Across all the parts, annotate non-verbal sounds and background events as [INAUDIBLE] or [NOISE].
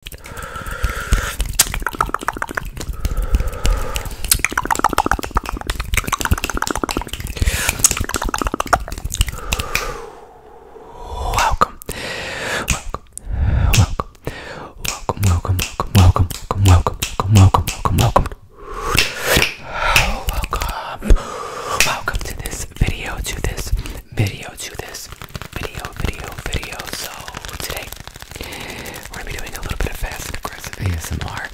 Welcome. Welcome. Welcome. Welcome, welcome, welcome, welcome, welcome, welcome, welcome, welcome, welcome. Welcome. Welcome to this video, to this video to this video, video, video. So today we're gonna be doing a little bit of fast and aggressive ASMR.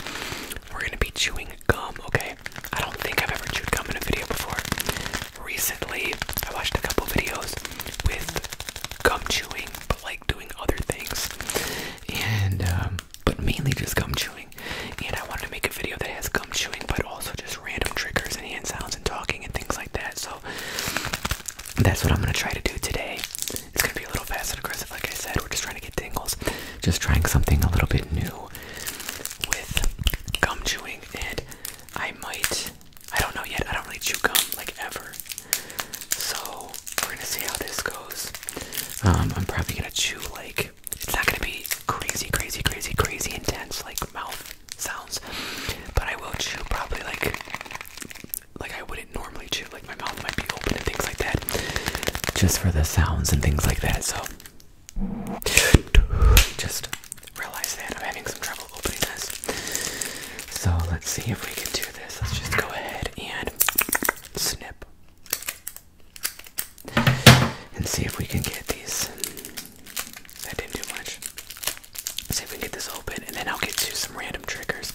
We're gonna be chewing gum, okay? I don't think I've ever chewed gum in a video before. Recently, I watched a couple videos with gum chewing, but like doing other things, and um, but mainly just gum chewing. And I wanted to make a video that has gum chewing, but also just random triggers and hand sounds and talking and things like that. So that's what I'm gonna try to do today. It's gonna be a little fast and aggressive, like I said. We're just trying to get tingles, just trying something a little bit new with gum chewing, and I might. I don't know yet. I don't really chew gum like ever, so we're gonna see how this goes. Um, I'm probably gonna chew like it's not gonna be crazy, crazy, crazy, crazy intense like mouth sounds. But I will chew probably like like I wouldn't normally chew. Like my mouth might be open and things like that, just for the sounds and things like that. So just realize that I'm having some trouble opening this. So let's see if we can do this. Let's just go ahead and snip and see if we can get these. That didn't do much. See if we can get this open, and then I'll get to some random triggers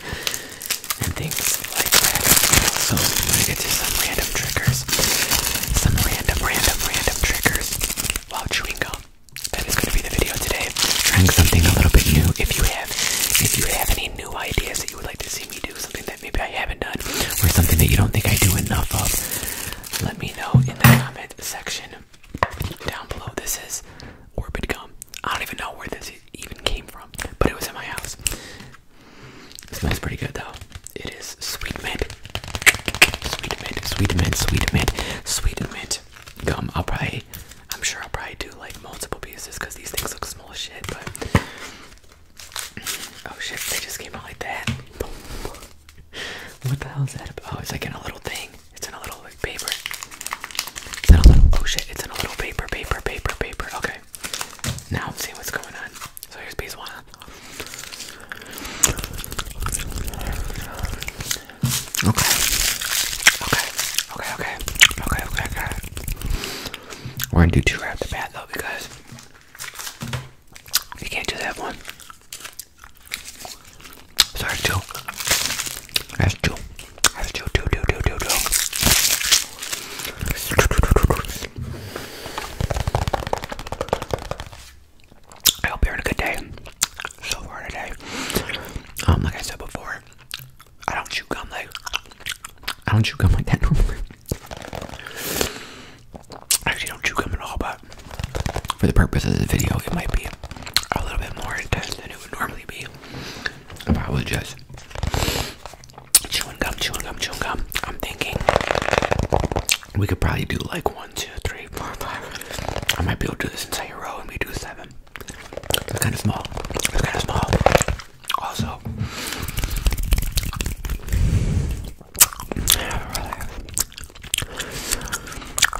and things like that. So i are gonna get to some random triggers, some random, random, random triggers while chewing gum. That is gonna be the video today. Trying something a little bit new. If you have, if you have any new ideas that you would like to see me do, something that maybe I haven't done, or something that you don't think I do enough of, let me know in the comment section down below. This is Orbit Gum. I don't even know where this even came from, but it was in my house. It smells pretty good though. It is sweet mint. Sweet mint, sweet mint, sweet mint, sweet mint gum. I'll probably, I'm sure I'll probably do like multiple pieces because these things look small shit, but. [SNIFFS] Oh shit, they just came out like that. [LAUGHS] what the hell is that about? Oh, it's like in a little thing. It's in a little paper. It's in a little, oh shit, it's in a little paper, paper, paper, paper. Okay. Now I'm seeing what's going on. So here's piece one. Okay. Okay. Okay, okay. Okay, okay, okay. We're gonna do two right off the bat though because you can't just have one. So that's two. That's two. That's two, two, two, two, two, two. I hope you're having a good day so far today. Um, like I said before, I don't chew gum like I don't chew gum like that [LAUGHS] normally. actually don't chew gum at all, but for the purpose of this video, it might be a little bit more intense than it would normally if I was just chewing gum, chewing gum, chewing gum. I'm thinking we could probably do like one, two, three, four, five. I might be able to do this entire row and we do seven. It's kind of small. It's kind of small. Also,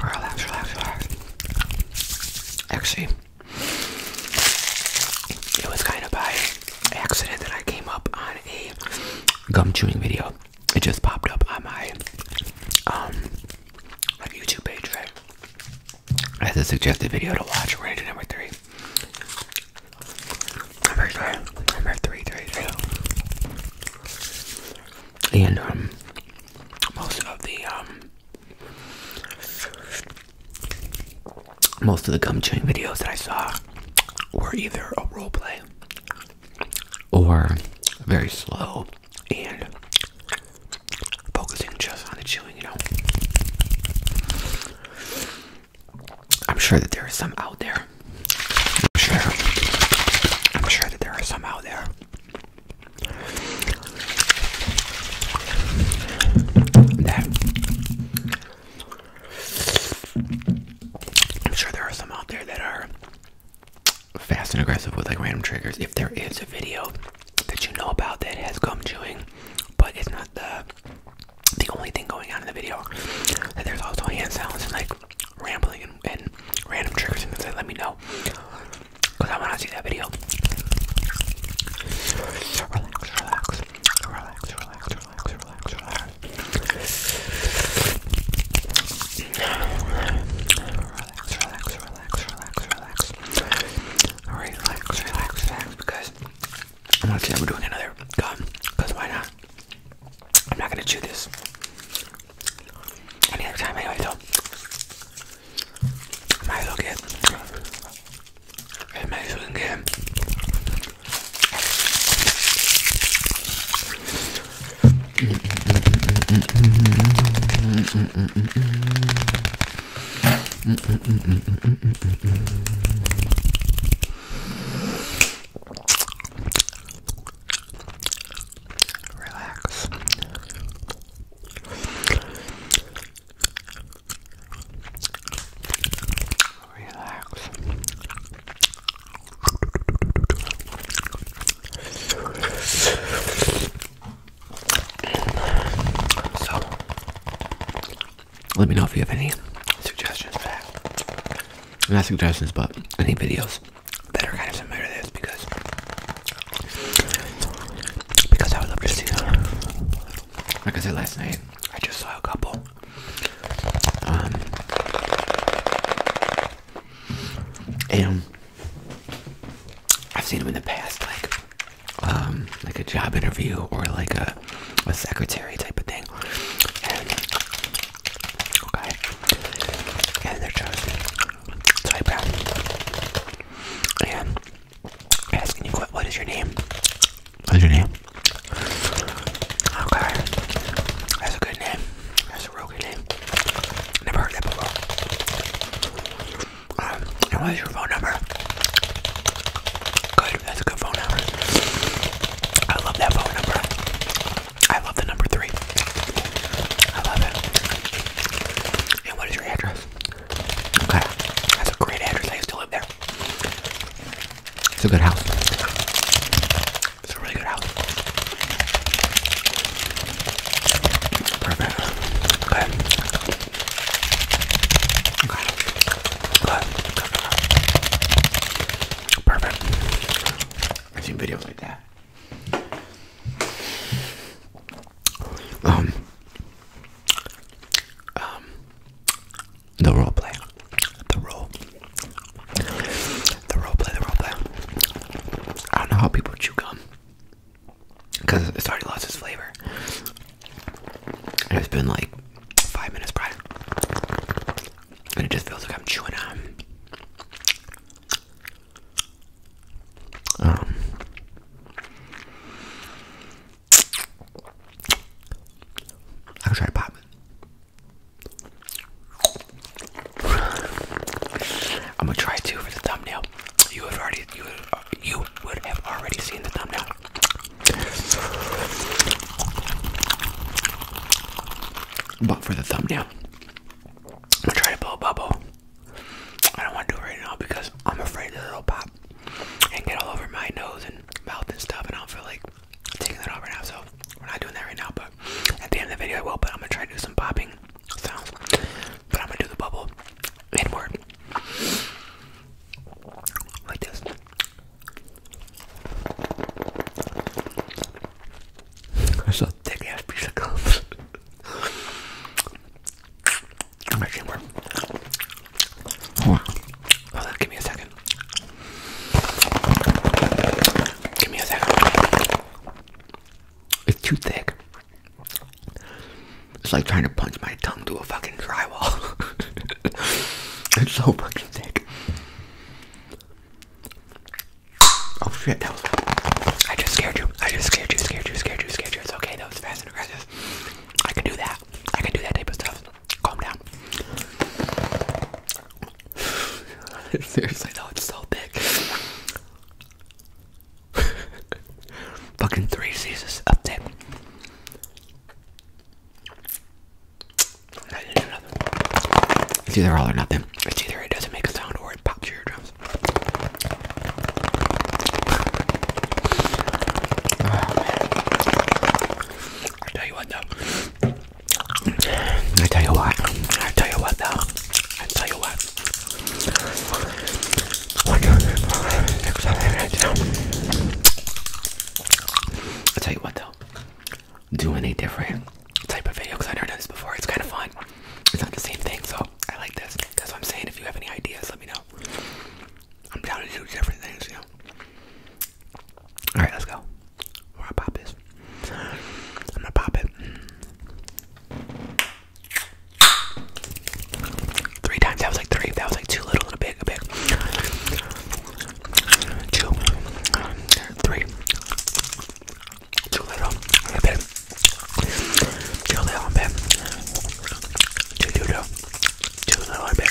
relax, relax, relax. relax. Actually, it was kind of by accident that I came up on a gum chewing video. It just popped up on um, my YouTube page, right? As a suggested video to watch, we're into number three. Number three, number three, three, three. And um, most of the um most of the gum chewing videos that I saw were either a role play or very slow and focusing just on the chewing, you know. I'm sure that there are some out there. I'm sure. I'm sure that there are some out there I'm sure there are some out there that are fast and aggressive with like random triggers. If there is a video that you know about that has gum chewing, but it's not the the only thing going on in the video, that there's also hand sounds and like rambling and, random triggers and things like let me know. Because I want to see that video. Relax, relax, relax, relax, relax, relax, relax. Relax, relax, relax, relax, relax. relax, because I want to see that we're doing another gum. Because why not? I'm not going to chew this. Any other time anyway, so I as well get it. I as well get him. Relax. Relax. So, let me know if you have any suggestions Not suggestions, but any videos that are kind of similar to this because because I would love to see them. Like I said last night, I just saw a couple. Um, and I've seen them in the past, like um, like a job interview or like a a secretary type of thing. And okay, and they're just type out. And Asking you what is your name? What is your name? Okay. That's a good name. That's a real good name. Never heard that before. Um, and what is your phone number? Good, that's a good phone number. I love that phone number. I love the number three. I love it. And what is your address? Okay, that's a great address. I used to live there. It's a good house. It's a really good house. Perfect. Okay. Perfect. I've seen videos like that. Um, um, the role play, the role, the role play, the role play. I don't know how people chew gum because it's already lost its flavor. it's been like five minutes prior, and it just feels like I'm chewing on um, I could try pop. I'm gonna try two for the thumbnail. You have already you you would have already seen the thumbnail. But for the thumbnail, I'm gonna try to blow a bubble. I don't want to do it right now because I'm afraid that it'll pop and get all over my nose and mouth and stuff, and I will feel like taking that off right now. So we're not doing that right now. But at the end of the video, I will. But I'm gonna try to do some popping sounds. But I'm gonna do the bubble inward like this. That's a thick ass piece of gum. [LAUGHS] I'm going on. give me a second. Give me a second. It's too thick. It's like trying to punch my tongue through a fucking drywall. [LAUGHS] it's so fucking thick. Oh shit, that was I just scared you. I just scared you, scared you, scared you, scared you. It's okay, that It's fast and aggressive. I can do that. I can do that type of stuff. Calm down. [LAUGHS] Seriously though, it's so thick. [LAUGHS] Fucking three seasons up It's either all or nothing. It's either it doesn't make a sound or it pops your drums. I tell you what though. I tell you what. I tell you what though. I tell you what. I tell you what though. Doing a different type of video because I've never done this before. It's kind of fun. It's not the same thing, so I like this. That's what I'm saying. If you have any ideas, let me know. I'm down to do different things, you know. Alright, let's go. We're gonna pop this. I'm gonna pop it. Three times, that was like three, that was like too little, a bit, a bit. Two, three, too little, a bit, too little, a bit, too, too, too do a little bit.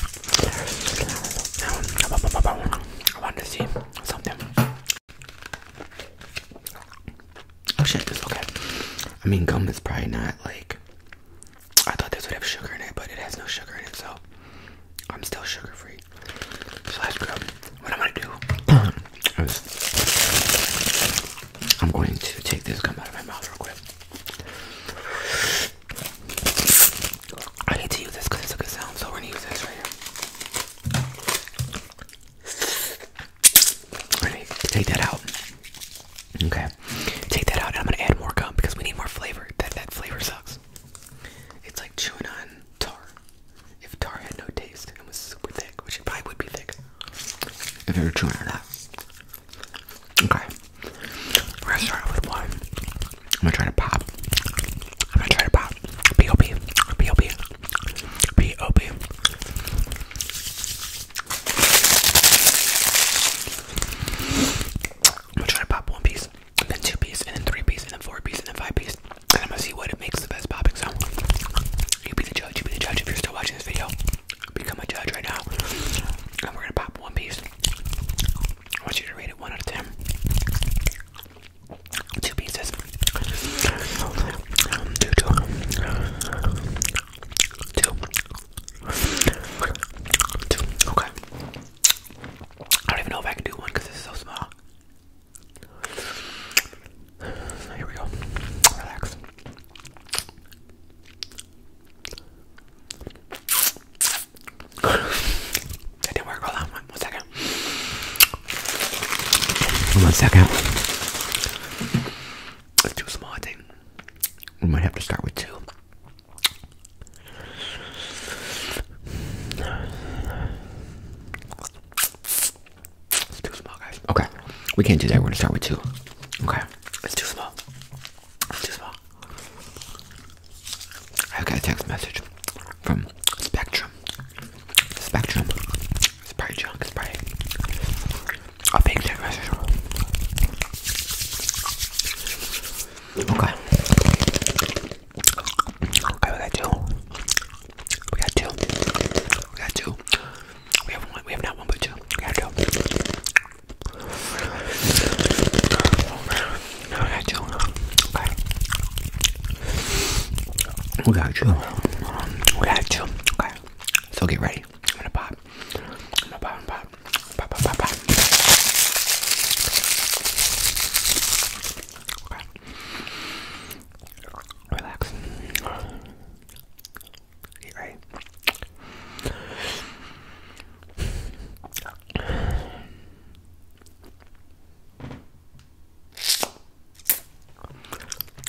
I wanted to see something. Oh shit, this is okay. I mean, gum is probably not like. I thought this would have sugar in it, but it has no sugar in it, so I'm still sugar free. Slash gum. What am i gonna do. [CLEARS THROAT] I'm going to take this gum out of my mouth real quick. I need to use this because it's a good sound, so we're gonna use this right here. Alright, take that out. Okay, take that out, and I'm gonna add more gum because we need more flavor. That that flavor sucks. It's like chewing on tar. If tar had no taste and was super thick, which it probably would be thick. If you were chewing on that. Okay. We're gonna start with one. I'm gonna try to pop. I'm gonna try to pop. P.O.P. am gonna try to pop one piece, and then two pieces, and then three pieces, and then four pieces, and then five pieces, And I'm gonna see what it makes the best popping sound. You be the judge, you be the judge if you're still watching this video become a judge right now. And we're gonna pop One Piece. I want you to rate it one out of ten. Two pieces. Um, Okay. I don't even know if I can do one because it's so small. Here we go. Relax that didn't work. Hold on one second. One second. It's too small, We might have to start with two. too small, guys. Okay. We can't do that. We're gonna start with two. Okay. It's too small. I got a text message from Spectrum. Spectrum. It's probably junk. a big text message. Okay. Okay, we got two. We got two. We got two. We have one. We have not one, but two. We got two. I got you. Okay. We got you. We got you. Okay. So get ready. I'm gonna pop. pop. Pop, pop, pop, pop. Okay. Relax.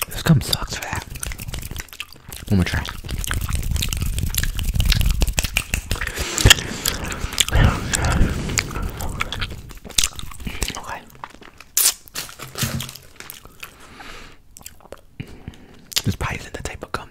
This gum sucks for that. One more try. Okay. This probably isn't the type of gum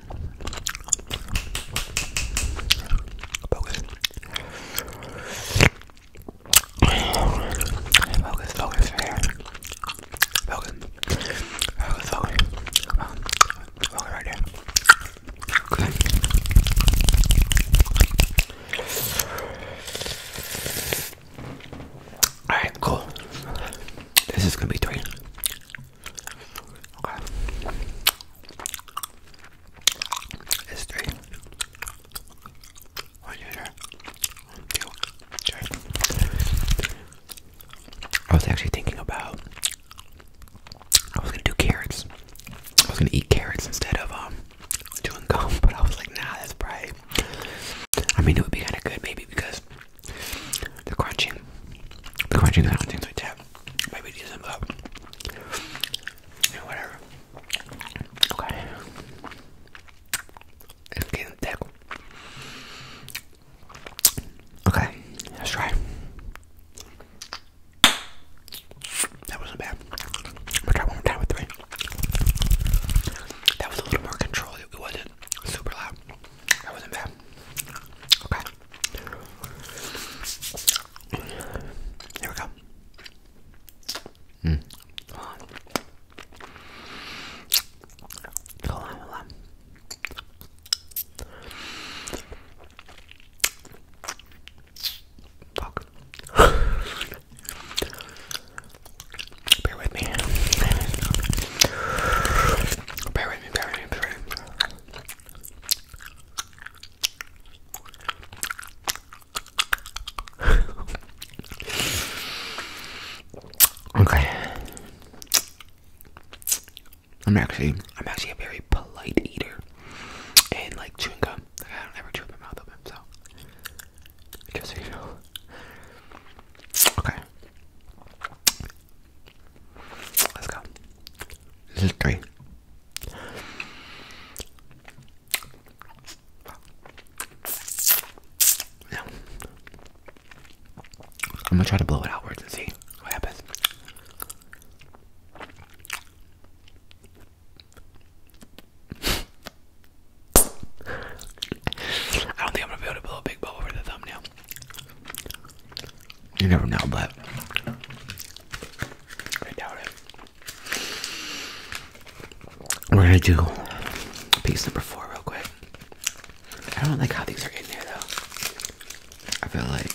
Focus. Focus, focus, here. Focus. Focus, focus. Focus right there. Alright, cool. This is gonna be three. Okay. It's I was actually thinking about. I was gonna do carrots. I was gonna eat carrots instead of um doing gum, [LAUGHS] but I was like, nah, that's probably. I mean, it would be kind of good maybe because the crunching, the crunching sound, things like that. Maybe decent, but you whatever. Okay. Okay, let's try. That wasn't bad. I'm gonna try one more time with three. That was a little more controlled. It wasn't super loud. That wasn't bad. Okay. Here we go. Mm. Hold on. Hold on, Fuck. Bear with me, bear with me, bear with me okay. I'm actually I'm actually a very polite eater. And like chewing gum. I don't ever chew my mouth so Okay. Let's go. This is three. I'm gonna try to blow it outwards and see what happens. I don't think I'm gonna be able to blow a big bubble for the thumbnail. You never know, but I doubt it. We're gonna do piece number four real quick. I don't like how these are in there though. I feel like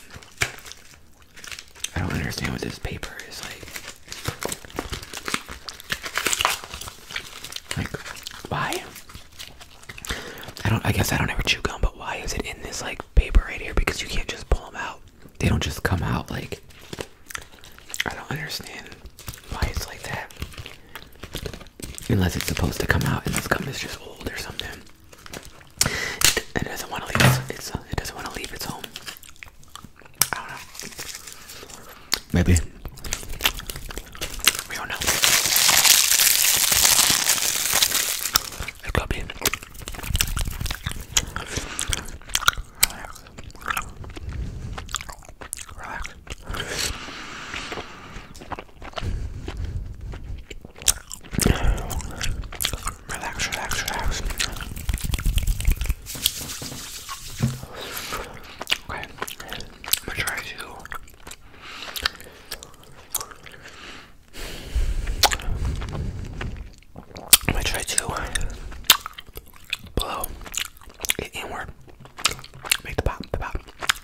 I don't understand what this paper is like. Like why? I don't. I guess I don't ever chew gum, but why is it in this like paper right here because you can't just pull them out. They don't just come out like. I don't understand why it's like that. Unless it's supposed to come out, and this gum is just old or something. It, doesn't want to leave its. it doesn't want to leave its home. I don't know. Maybe. We don't know. It's gotta be. Relax. Relax. Relax, relax, relax. Okay, I'm gonna try to I'm gonna try to blow inward. Make the pop, the pop,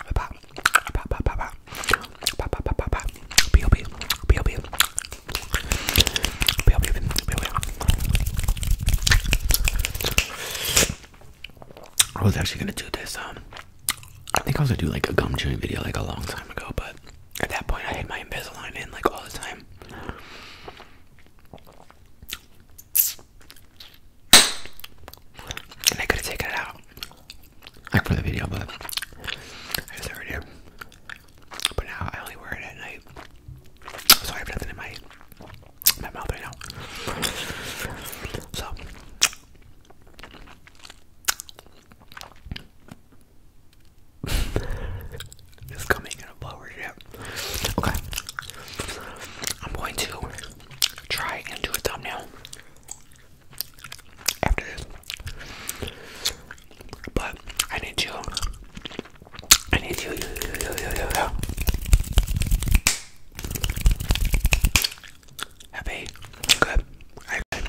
the pop, the pop, pop, pop, pop, pop, pop, pop, pop, pop, B.O.B. B.O.B. B.O.B. B.O.B. I was actually gonna do this, um, I think I was gonna do like a gum chewing video like a long time ago, but at that point, I had my Invisalign in like all the time. And I could have taken it out. Like for the video, but I just never did. But now I only wear it at night. So I have nothing in my my mouth right now. So just [LAUGHS] coming in a blower ship. Okay. I'm going to try and do a thumbnail after this. But I need you. I need you. Have a good.